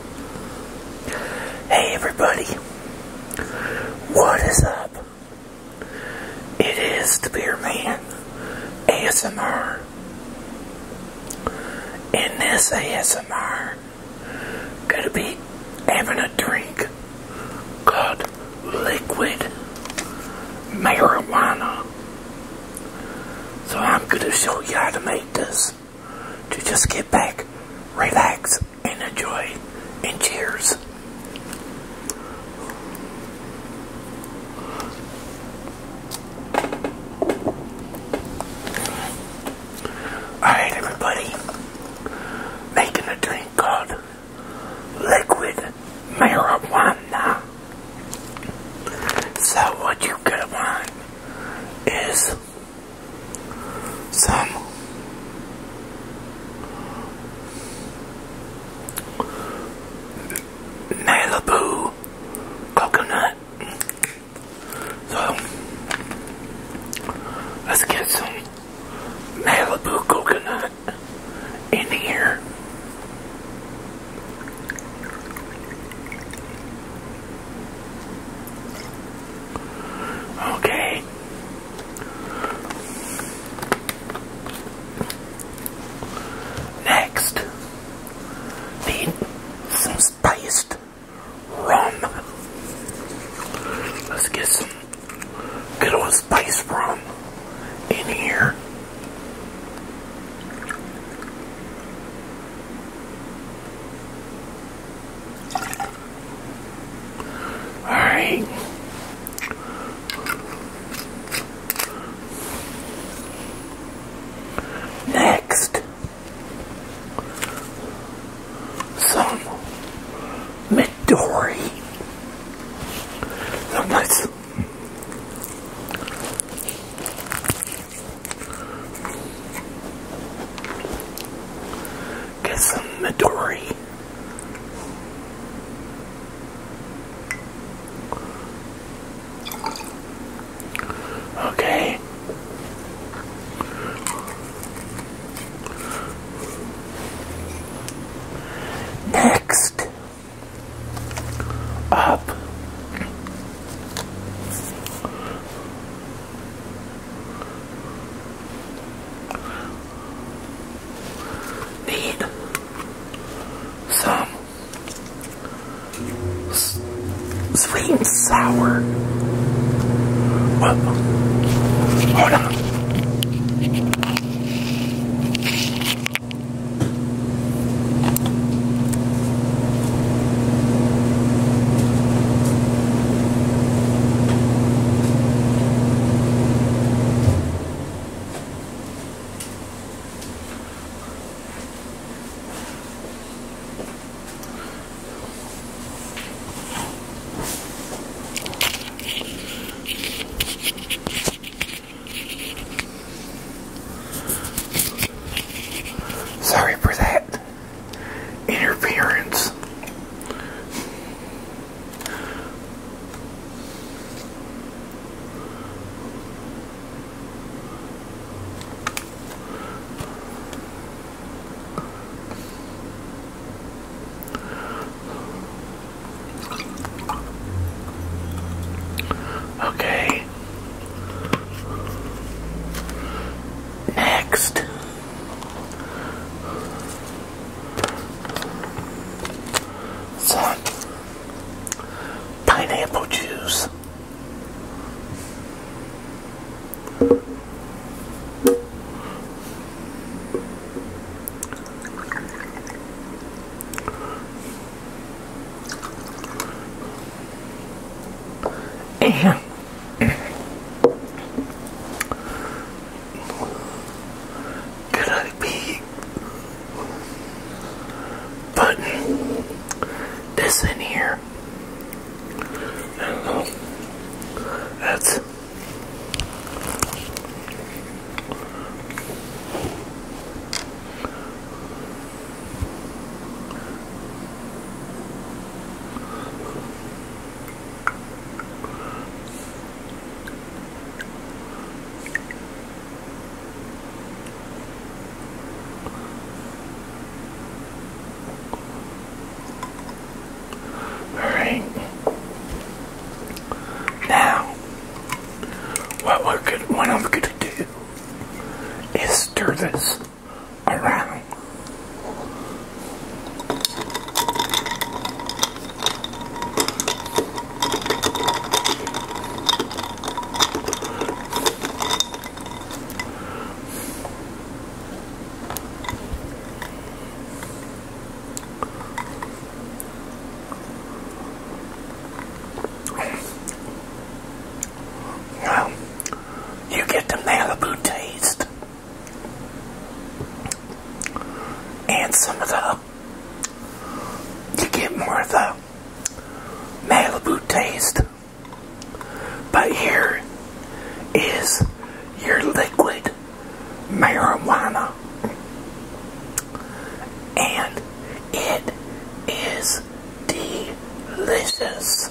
Hey everybody, what is up? It is the Beer Man ASMR. In this ASMR, gonna be having a drink called liquid marijuana. So I'm gonna show you how to make this to just get back, relax, and enjoy. And cheers. Alright, everybody. Making a drink called liquid marijuana. So, what you gonna want is some Malibu coconut. So let's get some Malibu coconut in here. Okay. Next, need some spiced rum. Let's get some good old spiced rum in here. Alright. Next, some Midori. Some nice Get some Midori. Okay. Next up need some sweet and sour. Well, hold on. Sorry for that interference. Okay. Next. Some pineapple juice. And could I be putting this in here? I don't know. That's Alright. Now, what we're gonna, what I'm gonna do is stir this around. you get the Malibu taste and some of the you get more of the Malibu taste. But here is your liquid marijuana, and it is delicious.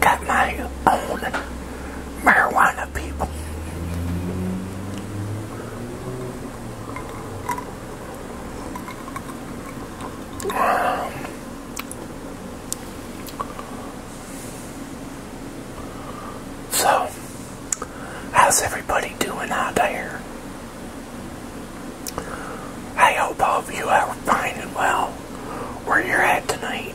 got my own marijuana people. so, how's everybody doing out there? I hope all of you are fine and well where you're at tonight.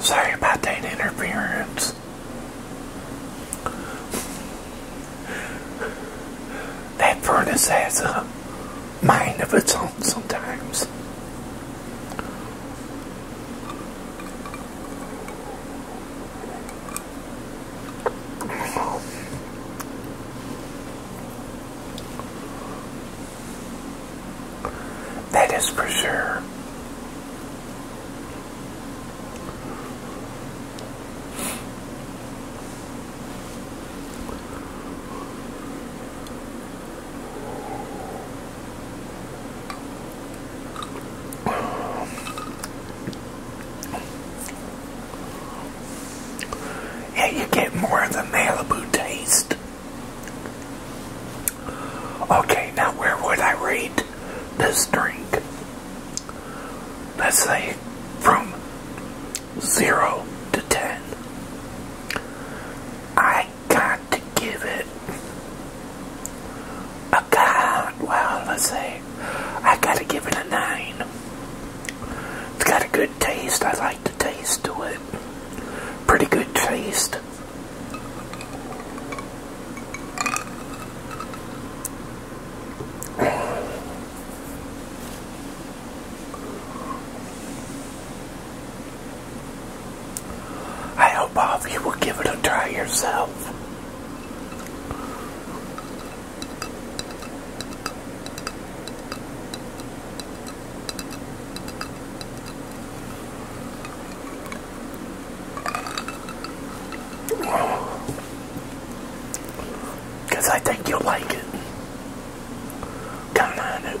Sorry about that interference. That furnace has a mind of its own sometimes. That is for sure. And you get more of the Malibu taste. Okay, now where would I rate this drink? Let's say from 0 to 10. I got to give it a god. Well, let's say I got to give it a 9. It's got a good taste. I like the taste to it. Pretty good taste. I hope all of you will give it a try yourself. Because I think you'll like it. Come on it.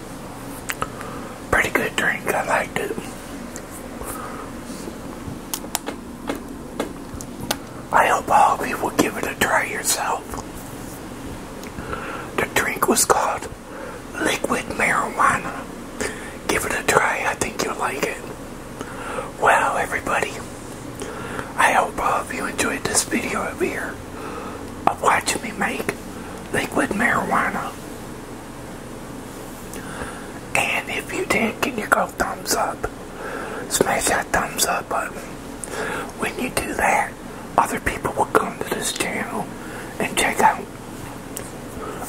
Pretty good drink, I liked it. I hope all of you will give it a try yourself. The drink was called Liquid Marijuana. Give it a try, I think you'll like it. Well, everybody, I hope all of you enjoyed this video of here of watching me make liquid marijuana. And if you did, can you go thumbs up? Smash that thumbs up button. When you do that, other people will come to this channel and check out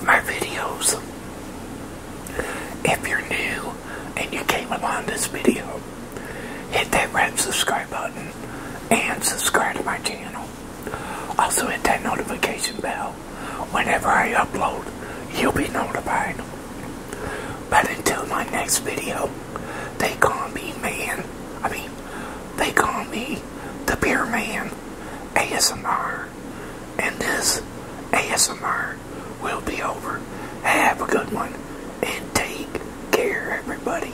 my videos. If you're new and you came along this video, hit that red subscribe button and subscribe to my channel. Also hit that notification bell. Whenever I upload, you'll be notified. But until my next video, they call me man. I mean, they call me the Beer Man ASMR. And this ASMR will be over. Have a good one and take care, everybody.